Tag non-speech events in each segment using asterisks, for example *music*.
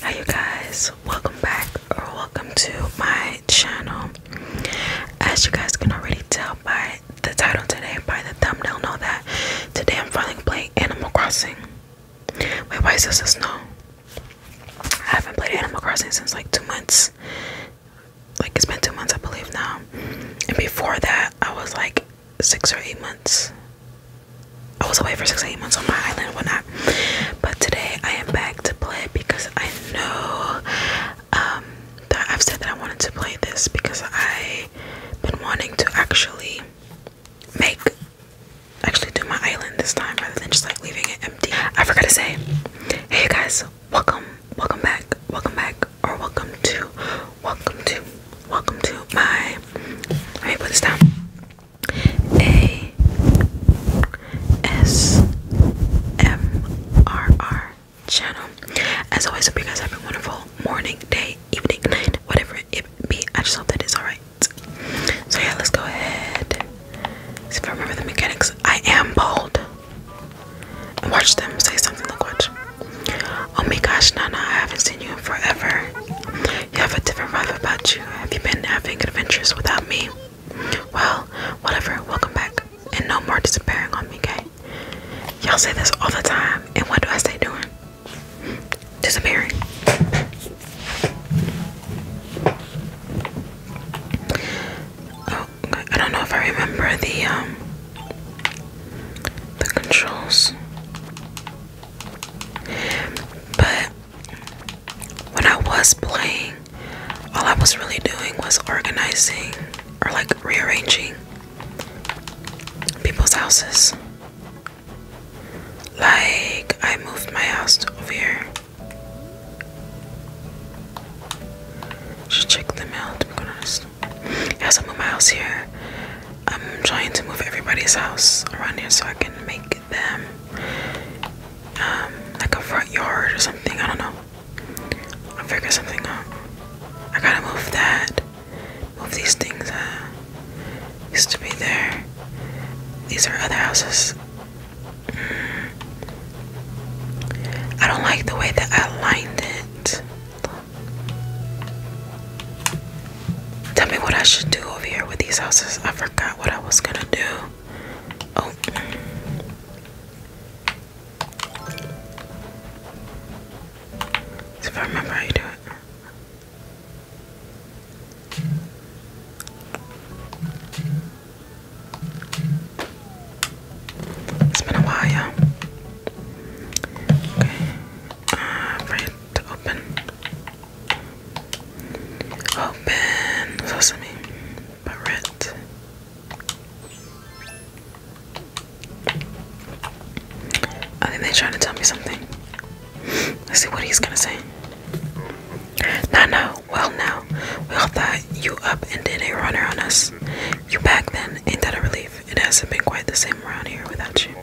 Hi you guys, welcome back or welcome to my channel. As you guys can already tell by the title today, by the thumbnail, know that today I'm finally playing Animal Crossing. Wait, why is this a snow? I haven't played Animal Crossing since like two months. Like it's been two months I believe now. And before that I was like six or eight months I was away for six, eight months on my island and whatnot. But today I am back to play because I know um, that I've said that I wanted to play this because I've been wanting to actually make, actually do my island this time rather than just like leaving it empty. I forgot to say, hey guys, welcome, welcome back, welcome back, or welcome to, welcome to, welcome to my, let me put this down. A S M R R channel. As always, hope you guys have a wonderful morning, day, evening, night, whatever it be. I just hope that it's alright. So yeah, let's go ahead. See if I remember the mechanics. I am bold. And watch them say something. Look, watch. Oh my gosh, Nana, I haven't seen you in forever. You have a different vibe about you. Have you been having adventures without me? Well, whatever. Welcome back. And no more disappearing on me, okay? Y'all say this all the time. And what do I say? doing? Disappearing. Oh, I don't know if I remember the um the controls. But when I was playing, all I was really doing was organizing or like rearranging people's houses. Like, I moved my house over here. Should check them out to be honest. Yes, I moved my house here. I'm trying to move everybody's house around here so I can make them um, like a front yard or something i don't know i'll figure something out i gotta move that move these things uh used to be there these are other houses mm. i don't like the way that i lined it Tell me what I should do over here with these houses. I forgot what I was gonna do. Oh. If I remember how you do it. It's been a while. Okay. Uh, to open. Open sesame Barrett. I think they're trying to tell me something. Let's see what he's gonna say. No, no, well, now we all thought you up and did a runner on us. you back then, ain't that a relief? It hasn't been quite the same around here without you.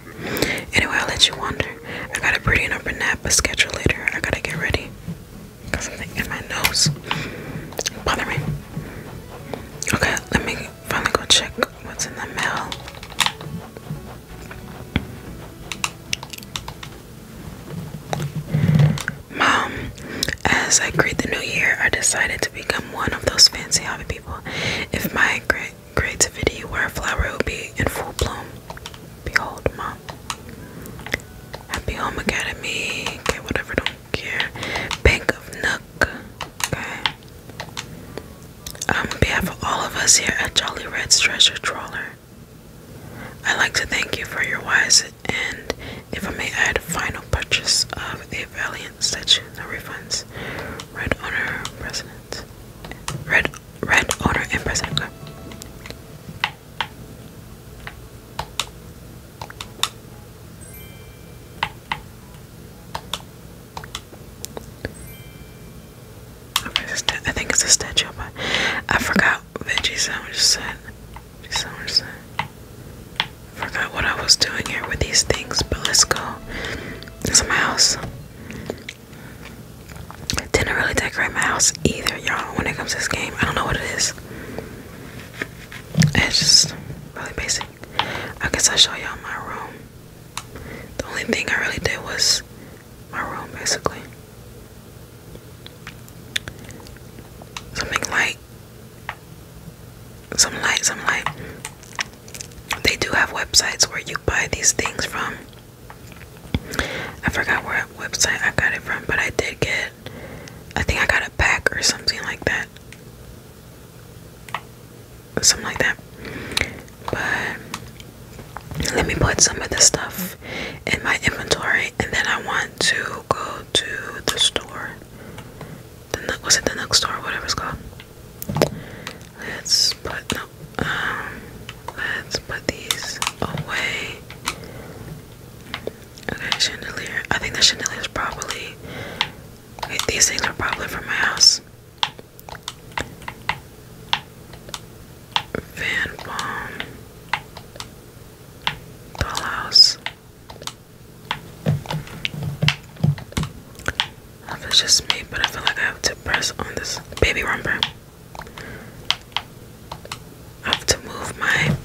Anyway, I'll let you wander. I gotta pretty up a nap, a schedule later. I gotta get ready. Got something in my nose. Bother me. Okay, let me finally go check what's in the mail. Mom, as I greet the new year, I decided to become one of those fancy hobby people. If my great creativity were a flower, it be in full bloom. Behold, Mom. Happy Home Academy. Okay, whatever, don't care. Bank of Nook. Okay. Um, on behalf of all of us here at Jolly Red's Treasure Trawler, I'd like to thank you for your wise and, if I may add, final purchase of a valiant statue. No refunds. Red owner, president. Red, red owner and I think it's a statue, but I forgot Veggie Sandwich said. Veggie Sandwich said. Forgot what I was doing here with these things, but let's go. It's my house. Didn't really decorate my house either, y'all. When it comes to this game, I don't know what it is. It's just really basic. I guess I'll show y'all my room. The only thing I really did was my room, basically. Something light. Some light, some light. They do have websites where you buy these things from. I forgot what website I got it from, but I did get I think I got a pack or something like that. Something like that. But let me put some of the stuff in my inventory and then I want to go to the store. The was it the Nook store, whatever it's called? Let's put um, let's put these away. Okay, chandelier. I think the chandelier is probably. these things are probably from my house. Van Baum. Dollhouse. I feel just me, but I feel like I have to press on this baby rumper. I have to move my.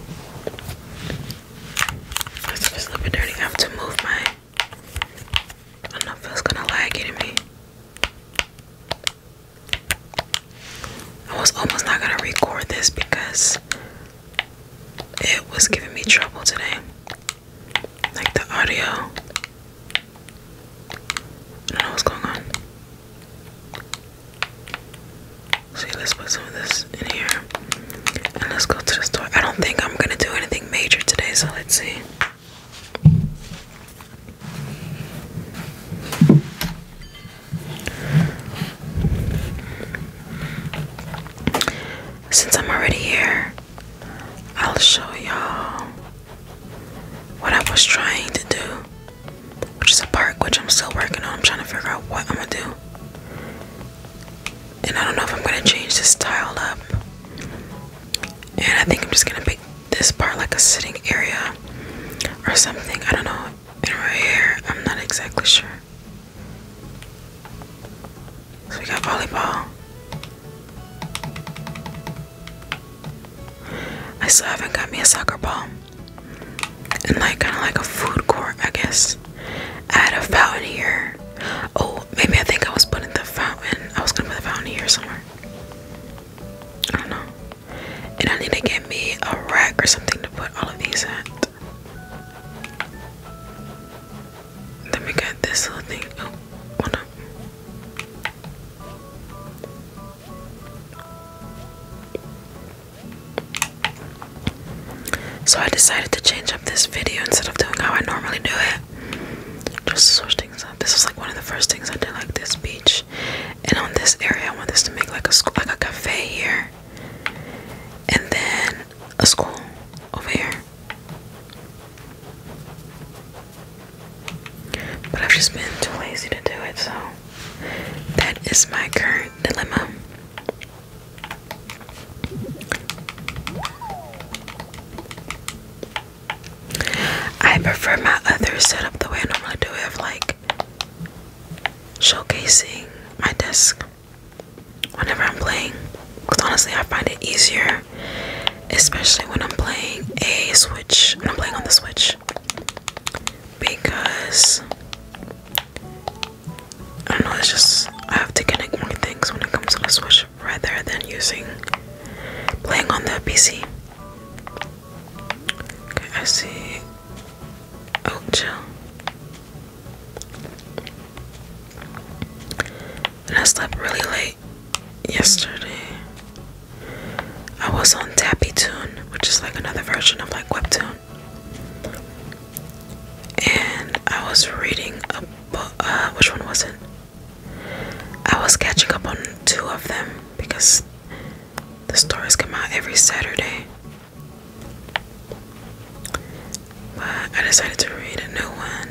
This is a little bit have to move my. I don't know if it's gonna lag into I was almost not gonna record this because it was giving me trouble today. Like the audio I don't know what's going on. See, let's put some of this in here. And let's go to the store. I don't think I'm gonna do anything major today, so let's see. Since I'm already here, I'll show y'all what I was trying to do, which is a park which I'm still working on. I'm trying to figure out what I'm gonna do. And I don't know if I'm gonna change this tile up. And I think I'm just gonna make this part like a sitting area or something. I don't know. And right here, I'm not exactly sure. So we got volleyball. I still haven't got me a soccer ball. And like kind of like a food court, I guess. I a fountain here. Oh, maybe I think I was putting the fountain. I was gonna put the fountain here somewhere. I don't know. And I need to get me a rack or something to put all of these at. Then we got this little thing. Oh, hold up. So I decided to change up this video instead of doing how I normally do it. Just switch things up. This is like one of the first things I did, like this beach, and on this area I want this to make like a school, like a cafe here, and then a school over here. But I've just been too lazy to do it, so that is my current dilemma. I prefer my other setup the way I normally do it of like showcasing my desk whenever I'm playing. Because honestly, I find it easier, especially when I'm playing a Switch, when I'm playing on the Switch because I don't know, it's just I have to connect more things when it comes to the Switch rather than using playing on the PC. I see. Oh, chill. And I slept really late yesterday. I was on Tappy Tune, which is like another version of like Webtoon. And I was reading a book. Uh, which one was it? I was catching up on two of them because the stories come out every Saturday. But I decided to read a new one.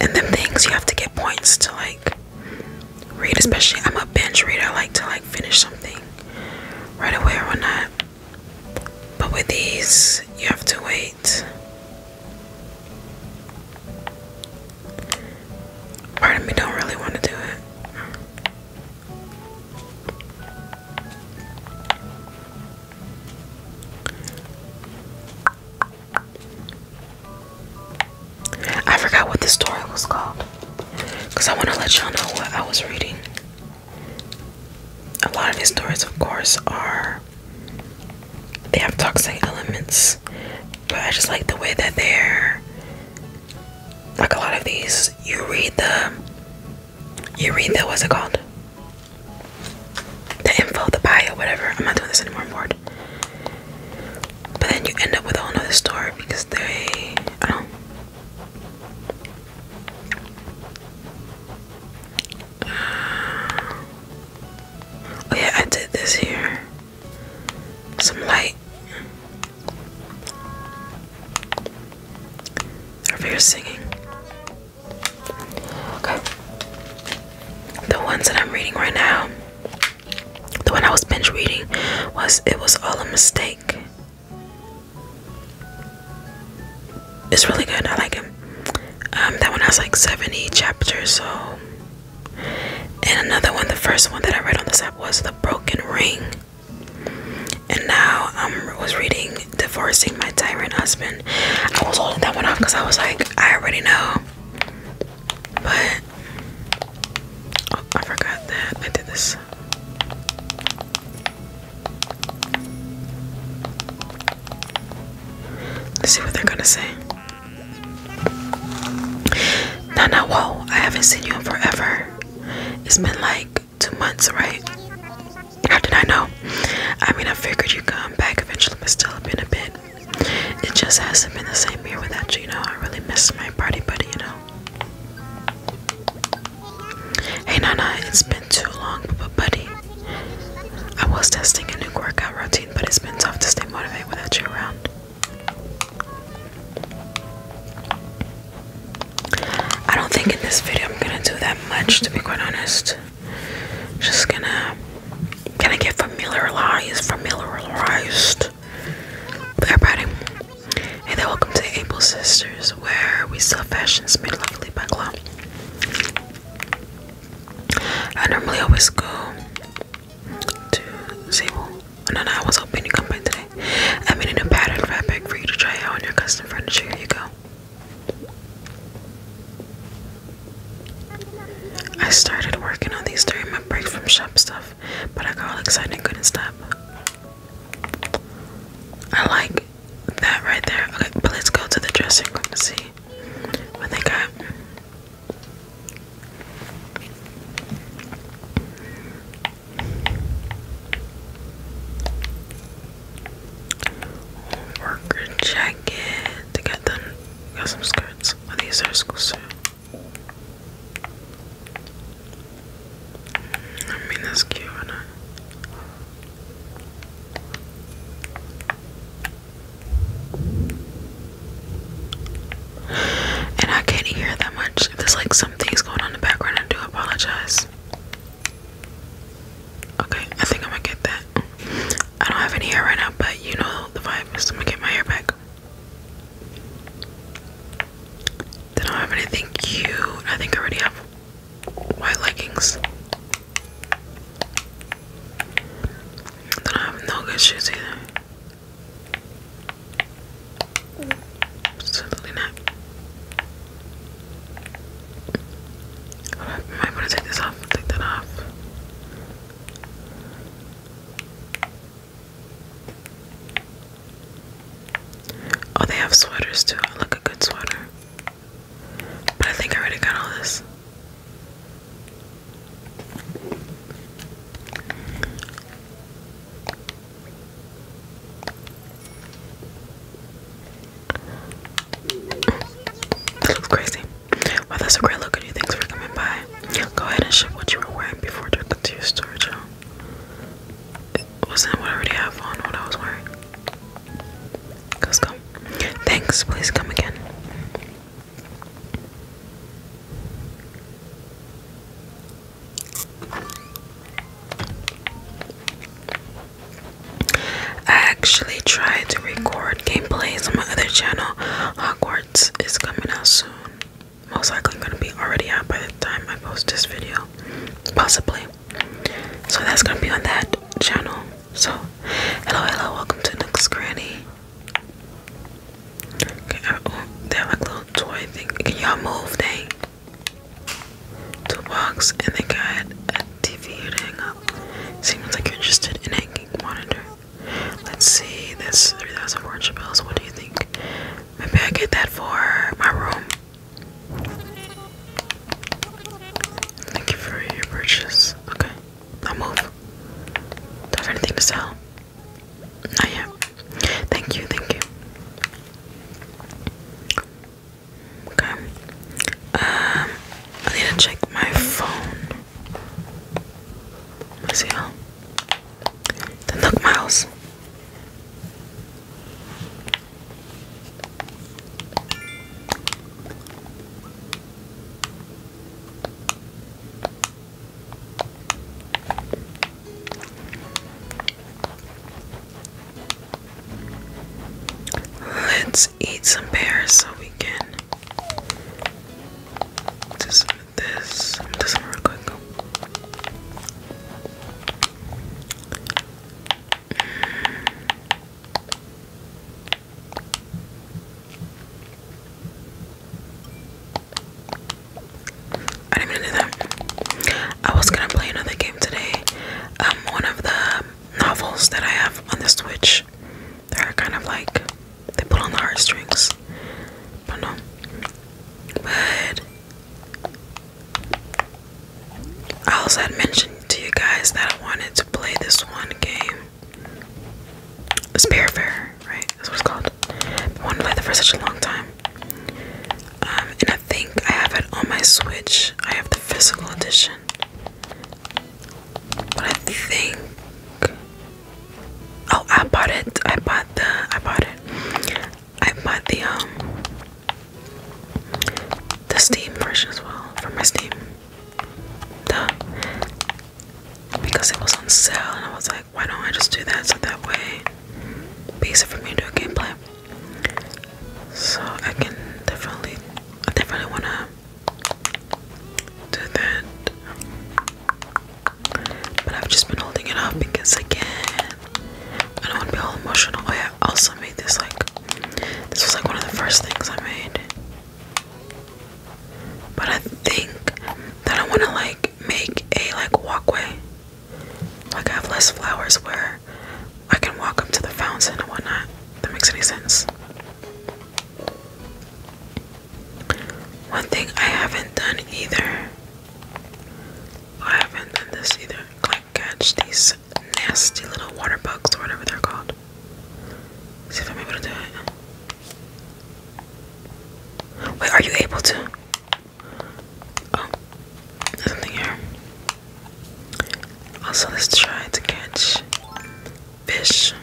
And then things you have to get points to like read especially i'm a binge reader i like to like finish something right away or not but with these you have to wait part of me don't really want to do it I forgot what the story was called because I want to let y'all know what I was reading. A lot of these stories, of course, are they have toxic elements, but I just like the way that they're like a lot of these. You read the you read the what's it called? The info, the bio, whatever. I'm not doing this anymore. But then you end up with a story because they I don't Oh yeah, I did this here. Some light. Over here singing. Okay. The ones that I'm reading right now the one I was binge reading was It Was All a Mistake. It's really good. I like it. Um, that one has like 70 chapters, so. And another one, the first one that I read on this app was The Broken Ring. And now I am um, was reading Divorcing My Tyrant Husband. I was holding that one off because I was like, I already know but oh, I forgot that I did this. Let's see what they're gonna say. No, no, whoa! I haven't seen you in forever. It's been like two months, right? How did I know? I mean, I figured you'd come back eventually, but still, been a bit. It just hasn't been the same here without you, you know. I really miss my party buddy, you know. Hey Nana, it's been too long, but buddy. I was testing a new workout routine, but it's been tough to stay motivated without you around. I don't think in this video I'm gonna do that much, to be quite honest. Just gonna, gonna get familiarized, familiarized podcast everybody. Hey there, welcome to Able Sisters, where we sell fashions made locally by Glow. I normally always go to Sable. Oh, no, I was hoping to come by today. I made a new pattern fabric for you to try out on your custom furniture. Here you go. I started working on these during my break from shop stuff, but I got all excited and couldn't stop. I like that right there. Okay, but let's go to the dressing room to see what they got. Worker jacket. They got them. Got some skirts. Oh, these are school suits. I mean, that's cute, isn't And I can't hear that much. there's like some going on in the background, I do apologize. Okay, I think I'm gonna get that. I don't have any hair right now, but you know the vibe is I'm gonna get my hair back look. Then don't have anything cute. I think I already have white leggings. Then I have no good shoes either. Absolutely not. I might to take this off. Take that off. Oh, they have sweaters too. I like a good sweater. But I think I already got all this. This looks crazy. Well, that's a great look Thanks for coming by. Go ahead and ship what you were wearing before to, to your store, Joe. Wasn't what I already have on when I was wearing? Cause come. Thanks, please come again. I actually tried to record gameplays on my other channel. Hogwarts is coming out soon most likely going to be already out by the time I post this video, possibly. So that's going to be on that channel. So, hello, hello, welcome to Nook's Granny. Uh, oh, they have like little toy thing. Can y'all move? Dang. Toolbox, and they got a TV to hang up. Seems like you're interested in hanging monitor. Let's see, that's three thousand four hundred fortune bills. What do you think? Maybe I get that for my room. Thank you for your purchase. Okay, I'll move. have anything to sell? Not yet. Thank you, thank you. Okay. Um, I need to check my phone. Let's see how the Nook Miles. Let's eat some pears so we can just this does some real I didn't even do that. I was gonna play another game today. Um, one of the novels that I have on the Switch, they're kind of like they pull on the heartstrings. But no. But I also had mentioned to you guys that I wanted to play this one game. Fair, right? That's what it's called. I wanted to play that for such a long time. Um, and I think I have it on my Switch. I have the physical edition. But I think Oh, I bought it. I bought the. I bought it. I bought the um. The Steam version as well for my Steam. Duh. Because it was on sale, and I was like, why don't I just do that so that way, easier for me into do a gameplay. So I can definitely, I definitely wanna do that. But I've just been holding it up because again, I don't want to be all emotional. Oh, I also made this like this was like one of the first things I made. But I think that I want to like make a like walkway. Like I have less flowers where I can walk up to the fountain and whatnot. That makes any sense. One thing I haven't done either. I haven't done this either. Like catch these nasty little water bugs or whatever they're called. See if I'm able to do it. Wait, are you able to? Oh, there's something here. Also, let's try to catch fish.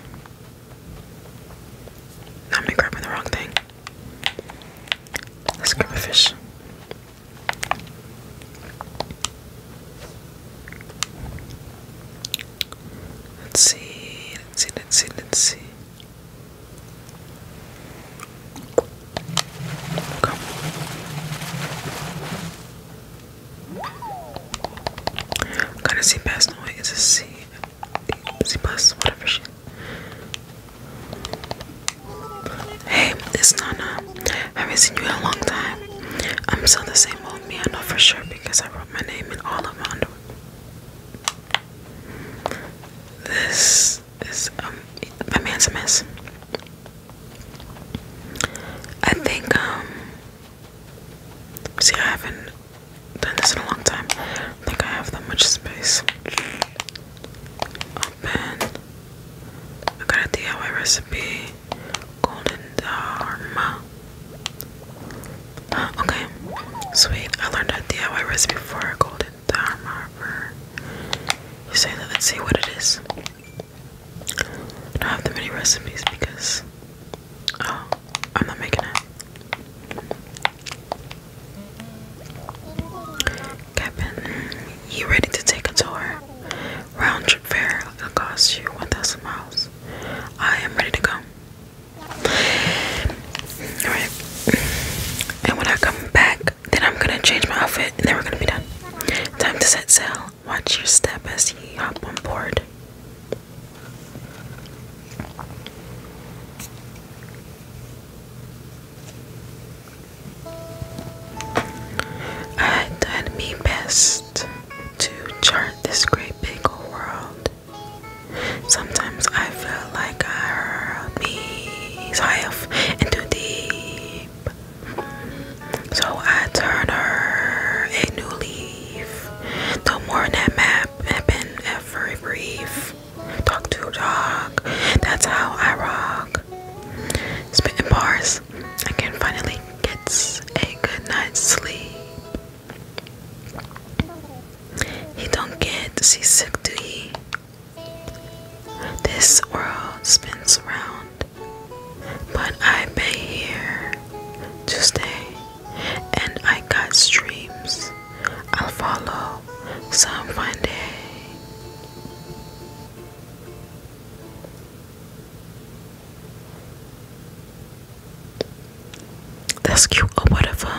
Now I'm grabbing the wrong thing. Let's grab a fish. Let's see, let's see, let's see, let's see. Come. Gotta see past the way it's C plus, whatever Hey, it's Nana. I haven't seen you in a long time. I'm still the same old me, I know for sure because I wrote my name in all of my underwear. This is um, my man's a mess. I think um see I haven't done this in a long time. I think I have that much space. Open. I got a DIY recipe. Golden Dharma. *gasps* okay, sweet. I learned a DIY recipe for Golden Dharma. You say that. Let's see what it is. I don't have that many recipes because. Oh, I'm not making it. Captain, you ready to take a tour? Round trip fare will cost you 1,000 miles. I am ready to go. Alright. And when I come back, then I'm gonna change my outfit and then we're gonna be done. Time to set sail. Watch your step as you hop on board. I thought me best to chart this great big world. Sometimes I feel like I heard me off and too deep. So I turn her a new leaf. No more than that map had been ever brief. Talk to talk, That's how I rock. Spitting bars. I can finally get a good night's sleep. He don't get seasick, do he? This world spins around, but I pay here to stay and I got streams. I'll follow some fun day. That's cute or whatever.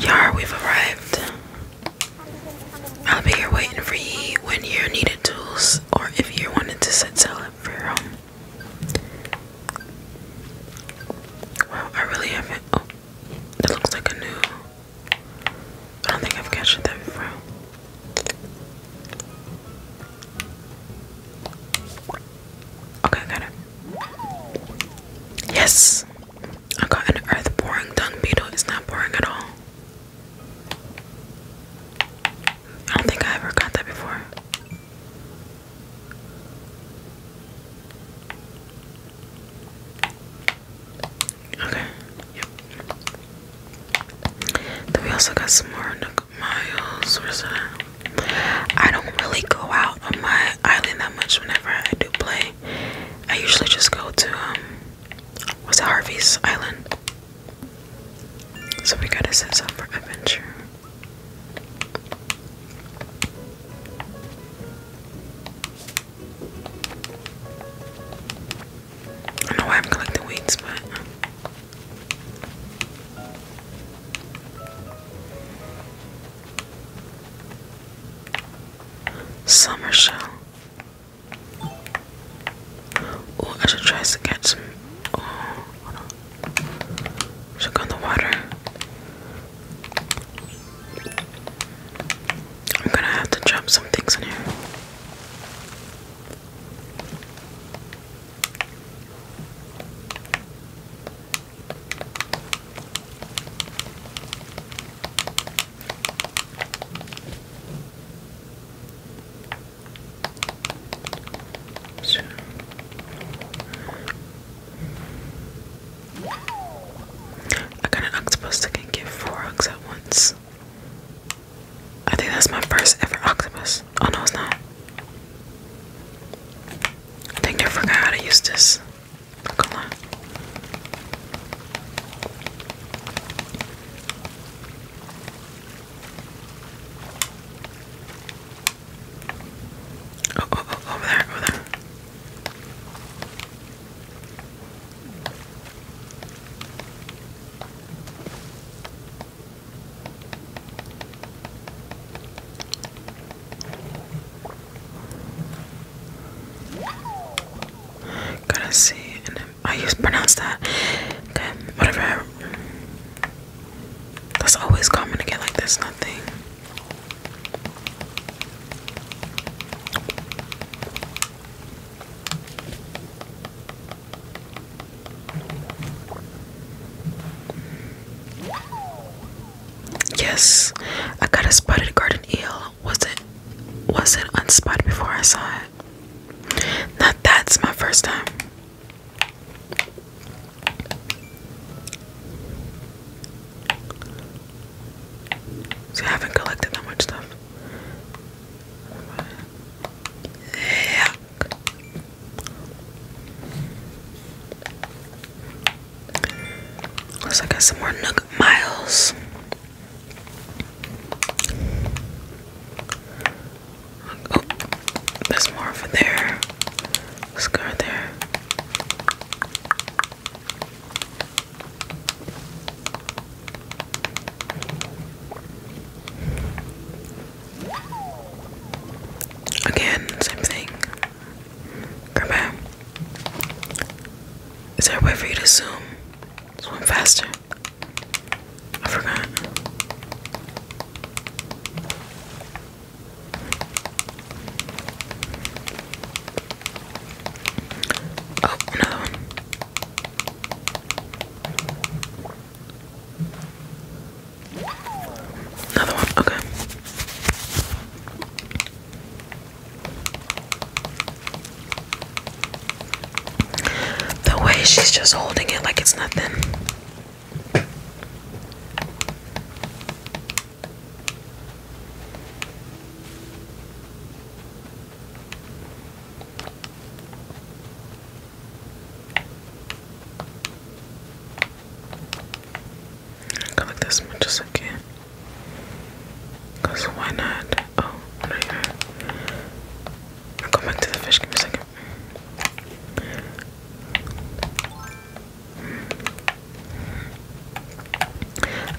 Yar, we've arrived. I'll be here waiting for you when you needed tools or if you wanted to set sell up for home. Wow, I really haven't. Oh, that looks like a new. I don't think I've captured that before. Okay, got it. Yes! I got an earth boring dung beetle. It's not boring at all. I don't think I ever got that before. Okay, yep. Then we also got some more Miles. I don't really go out on my island that much whenever I do play. I usually just go to um, was it Harvey's Island? So we gotta set up for adventure. I know why I'm collecting weeds, but summer shell. Oh, I should try to get some. Oh, on. the water. I'm gonna have to drop some things in here. I got an octopus that can give four hugs at once. I think that's my first ever octopus. Oh no, it's not. I think I forgot how to use this. Not going Oh, oh, oh, over there, over there. Gotta see and I used pronounce that. Okay, whatever. That's always common to like this, nothing. Yes, I got a spotted garden eel was it was it unspotted before I saw it. Now that's my first time. So I haven't collected that much stuff. Yuck. Looks I got some more Nook Miles. Oh, there's more over there. Scar there. Again, same thing. Grab Is there a way for you to zoom? Swim faster. I forgot. Oh, another Another one, okay. The way she's just holding it like it's nothing. I go this much as Cause why not? Oh, no, you I'll go back to the fish. Give me a second.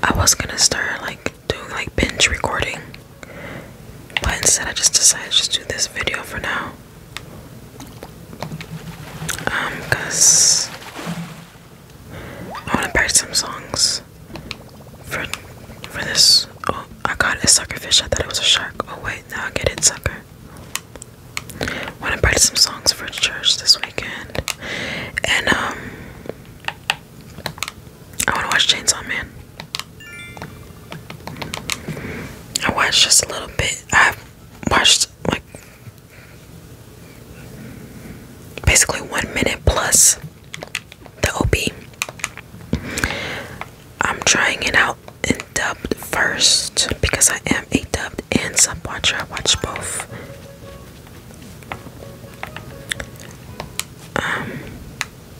I was gonna start like doing like binge recording, but instead I just decided to just do this video for now. Um, cause I wanna practice some songs for for this oh I got a sucker fish I thought it was a shark oh wait now I get it sucker wanna write some songs for church this weekend and um I wanna watch Chainsaw Man I watched just a little bit i watched like basically one minute plus the OB. I'm trying it out in dubbed first because I am a dubbed and sub watcher. I watch both. Um,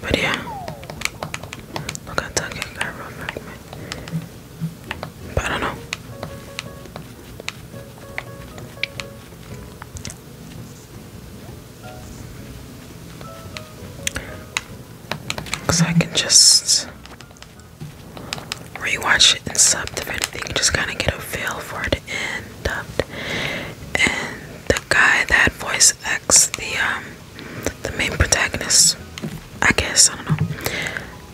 but yeah, look, I took it. I real I don't know. Cause I can just rewatch it and sub if anything, just kind of get a feel for it and dubbed. And the guy that voice acts the um, the main protagonist, I guess I don't know.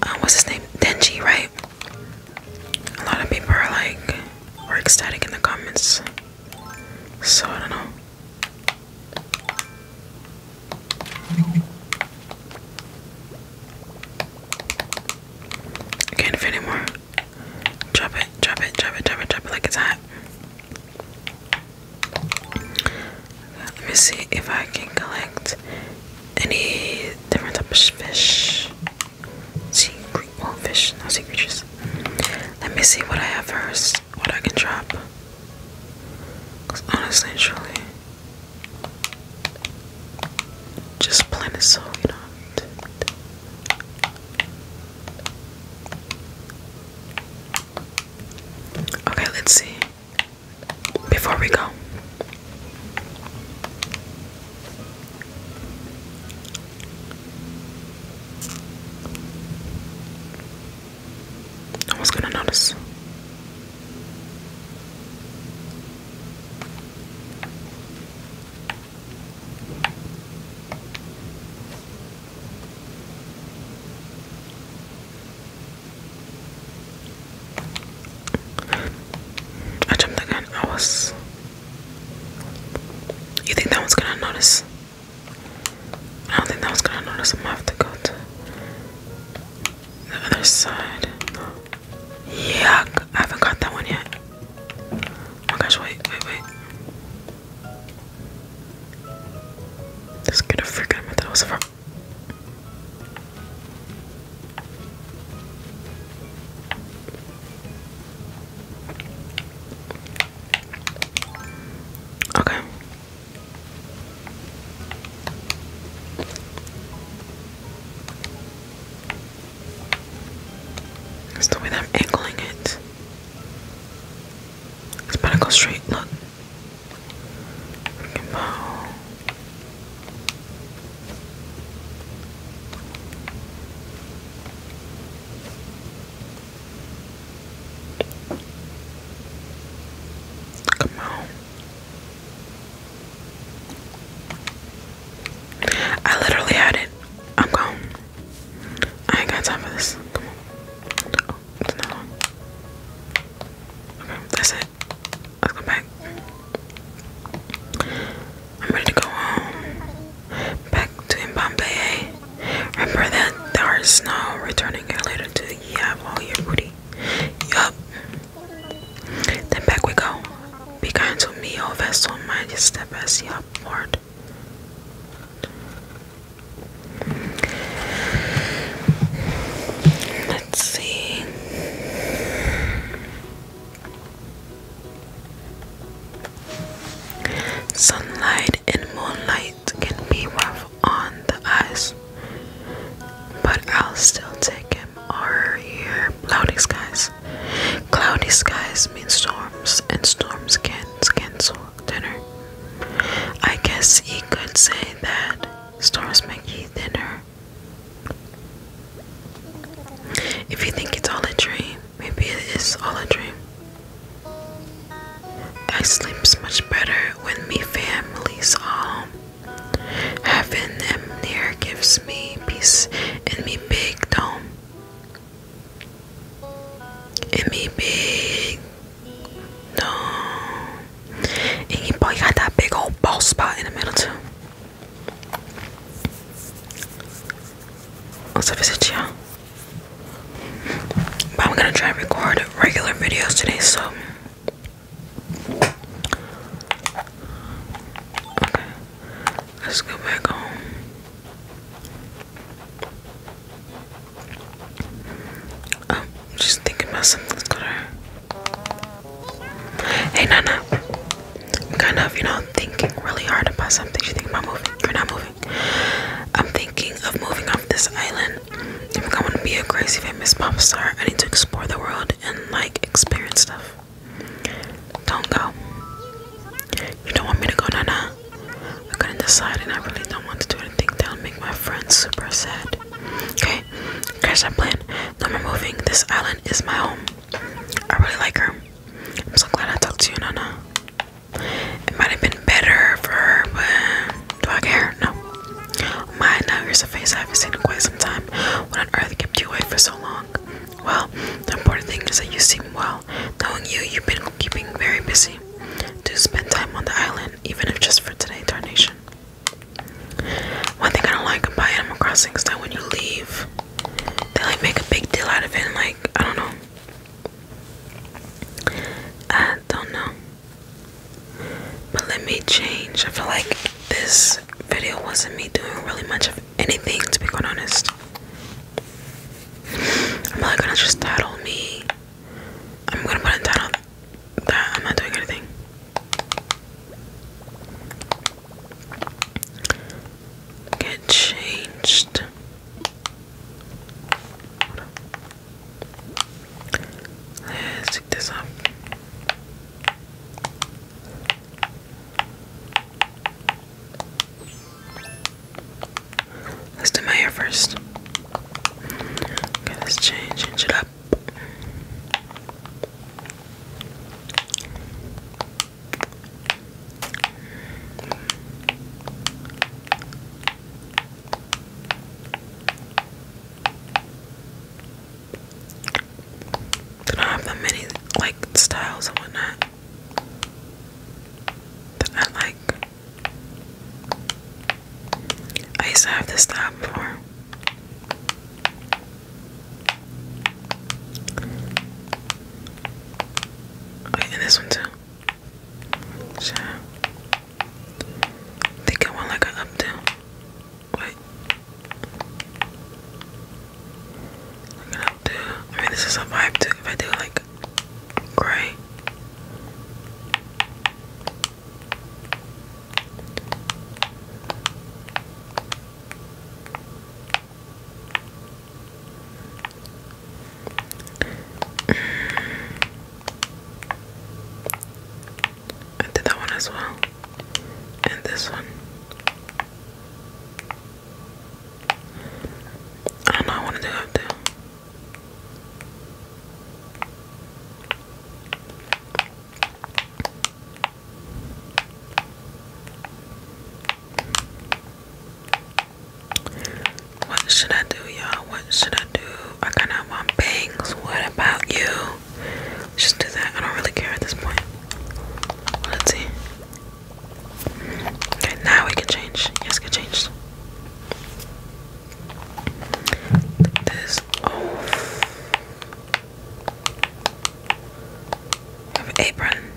Uh, what's his name? Denji, right? A lot of people are like, are ecstatic in the comments. So I don't know. can't fit anymore. Drop it, drop it, drop it, drop it, drop it like it's hot. Let me see if I can collect any different type of fish. One fish, no sea Let me see what I have first, what I can drop. honestly truly, just plain is Okay, let's see. Before we go, no one's gonna notice. I jumped the gun. I was. You think that one's gonna notice? I don't think that was gonna notice. I'm gonna have to go to the other side. Yeah, I haven't got that one yet. Oh my gosh, wait, wait, wait. This is gonna freak out that was a Okay. That's the way I'm angling it. It's about go straight, look. Come on. I literally had it. I'm gone. I ain't got time for this. that's it. Let's go back. I'm ready to go home. Back to Mbappe. Eh? Remember that there is no returning here later to you have all your booty. Yup. Then back we go. Be kind to me, O vessel, mind your step as you upward. Let's see. Sunlight and moonlight can be rough on the eyes, but I'll still take him or hear cloudy skies. Cloudy skies mean storms, and storms can cancel dinner. I guess he could say that storms make you thinner. If you think it's all a dream, maybe it is all a dream. I sleep much better when me family's all home. Heaven am near gives me peace in me big dome. In me big dome. And you got that big old bald spot in the middle too. Also visit you I'm gonna try to record regular videos today, so okay. Let's go back home. i um, just thinking about something. Hey Nana. I'm kind of, you know, thinking really hard about something. You think about moving. You're not moving. I'm thinking of moving off this island. I'm going to be a crazy famous pop star, I need to explore the world and like experience stuff. Don't go. You don't want me to go, Nana? I could to decide, and I really don't want to do anything that'll make my friends super sad. Okay, crash that plan. No more moving. This island is my home. I really like her. I'm so glad I talked to you, Nana. It might have been better for her, but do I care? No. my, now a face I haven't seen in quite some time. What on earth kept you away for so long? Well, the important thing is that you seem well. Knowing you, you've been keeping very busy. Do spend time on the island, even if just for today, Tarnation. One thing I don't like about Animal Crossing is that when you leave, they like make a big deal out of it. like I don't know, I don't know. But let me change. I feel like this video wasn't me doing really much of anything, to be quite honest. I'm not gonna just title me. I'm gonna put a title that I'm not doing anything. Get changed. Let's take this up. Let's do my hair first. Okay, let's change it up don't have many like styles and whatnot that I like. I used to have this style before. Oh, and this one too. Sure. I think I want like an up Wait. an up I mean, this is a vibe too. If I do like gray. I did that one as well, and this one. I don't know. I want to do up what should I do, y'all? What should I do? I kind of want bangs. What about you? Just do that. I don't really care at this point. let's see. Okay, now we can change. Yes, can change. this off. apron.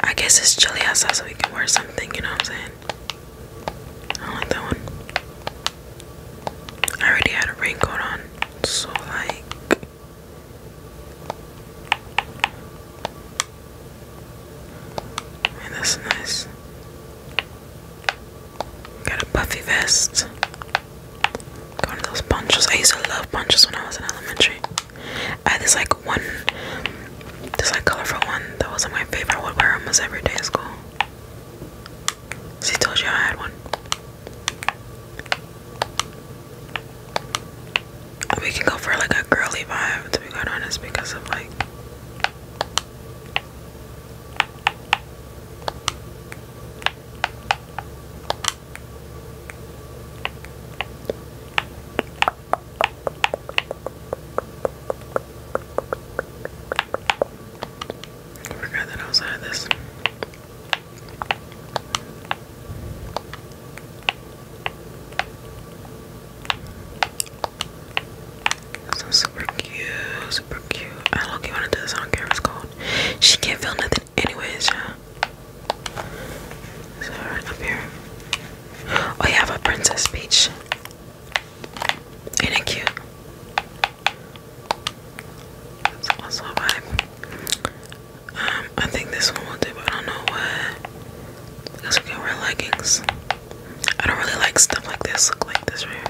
I guess it's chilly outside, so we can wear something, you know what I'm saying? I like that one. I already had a raincoat on, so like. that's nice. Got a puffy vest. Got one those ponchos. I used to love ponchos when I was in elementary. I had uh, this like one, this like colorful one that was like my favorite. I would wear almost every day at school. She told you I had one. We can go for like a girly vibe, to be quite honest, because of like. I forgot that I was out this. So super cute, super cute. I don't you want to do this. I do She can't feel nothing, anyways. Yeah. So right up here. Oh, you have a Princess Peach. Ain't it cute? That's also vibe. Um, I think this one will do, but I don't know what. Because we can wear leggings. I don't really like stuff like this, look like this right here.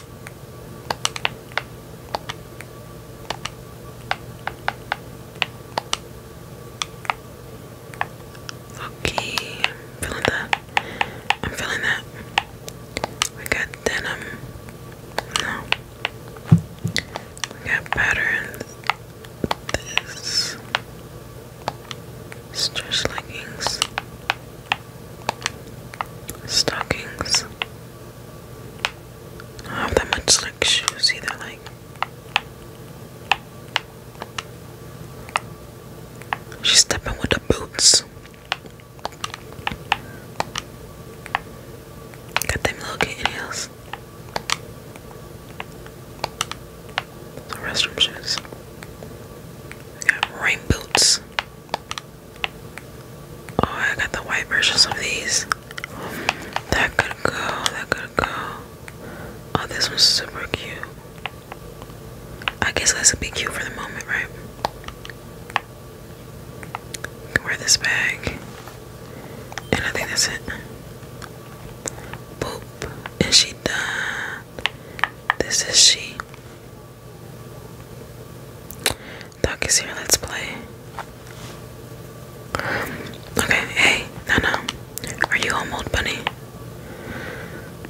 Okay, feeling that. I'm feeling that. We got denim. No. We got patterns. This. Stretch leggings. Stockings. I have that much like shoes either, like she's stepping with the boots. Got them little kitten heels. The restroom shoes. I got rain boots. Oh, I got the white versions of these. That could go, that could go. Oh, this one's super cute. I guess this would be cute for the moment, right? You wear this bag. And I think that's it. Boop. And she done. This is she. Doc is here, let's play. Okay, hey, no, no. Are you home, old bunny?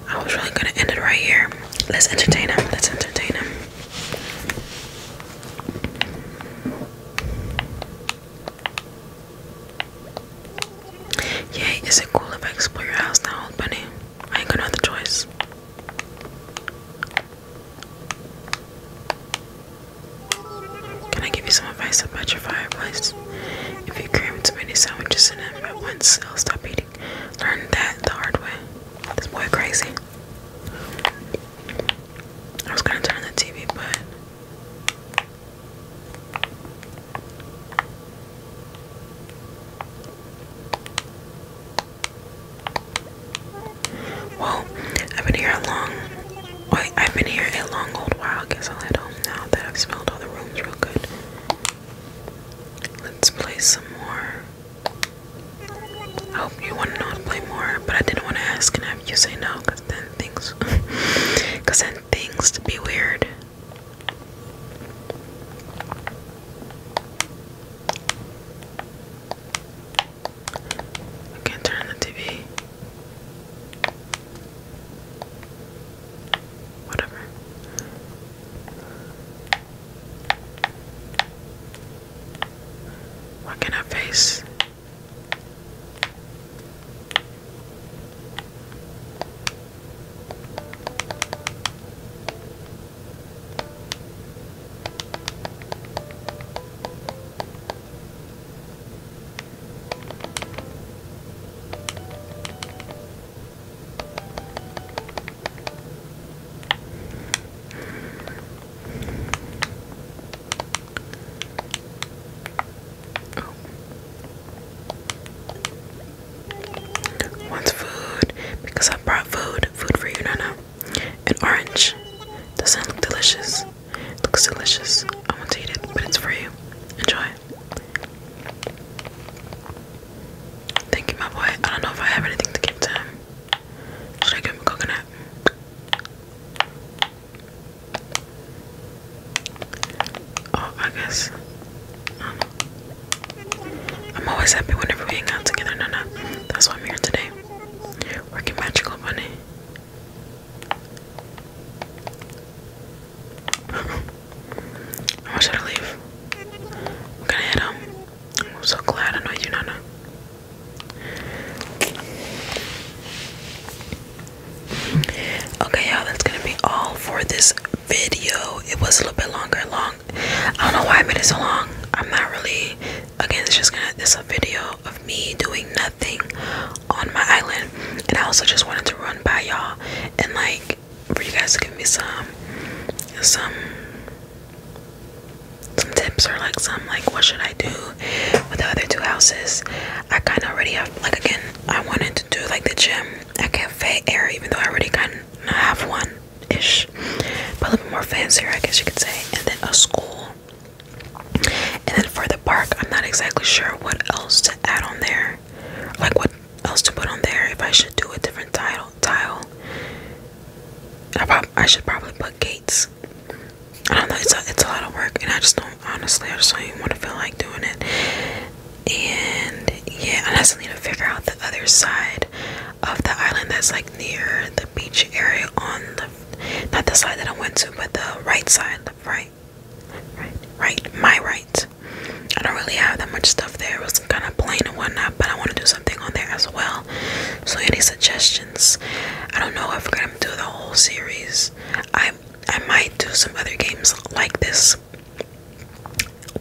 I was really gonna end it right here. Let's entertain him, let's entertain him. Yay, is it cool if I explore your house now, old bunny? I ain't gonna have choice. Can I give you some advice about your fireplace? If you cram too many sandwiches in them at once, they'll stop eating. Learn that the hard way. This boy crazy. I was gonna turn the TV, but well, I've been here a long wait, I've been here a long old while. guess I'll head home now that I've smelled all the rooms real good. Let's play some more. I hope you wanna know to play more, but I didn't want to ask and have you say no, then things *laughs* then things to be weird. I can't turn the TV. Whatever. What can I face? Oh. food because I brought food, food for you, Nana. An orange. Doesn't look delicious. looks delicious. I want to eat it, but it's for you. Enjoy. Thank you, my boy. I don't know if I have anything to give to him. Should I give him a coconut? Oh, I guess. Um, I'm always happy whenever we hang out together, Nana. That's why I'm here today. Working magical bunny. I want you to leave. I'm gonna hit him. I'm so glad I know you, Nana. Okay, you that's gonna be all for this video. It was a little bit longer, long. I don't know why I made it so long. I'm not really again it's just gonna this a video of me doing nothing on my island and i also just wanted to run by y'all and like for you guys to give me some some some tips or like some like what should i do with the other two houses i kind of already have like again i wanted to do like the gym at cafe air even though i already kind of have one ish, a little bit more fancier, I guess you could say, and then a school. And then for the park, I'm not exactly sure what else to add on there, like what else to put on there. If I should do a different title, tile, I, prob I should probably put gates. I don't know. It's it's a lot of work, and I just don't honestly. I just don't want to feel like doing it. And yeah, I just need to figure out the other side of the island that's like near the beach area on the not the side that I went to, but the right side, right, right, right, my right. I don't really have that much stuff there. It was kind of plain and whatnot, but I want to do something on there as well. So any suggestions? I don't know if we're gonna do the whole series. I I might do some other games like this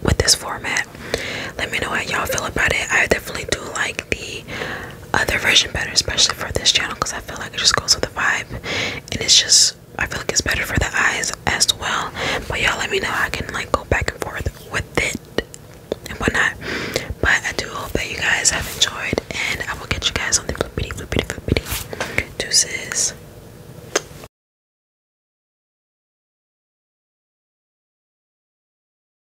with this format. Let me know how y'all feel about it. I definitely do like the other version better, especially for this channel, because I feel like it just goes with the vibe, and it's just I feel like it's better for the eyes as well. But y'all, let me know I can like go back and forth with it and whatnot. But I do hope that you guys have enjoyed, and I will get you guys on the flippity flippity flippity deuces.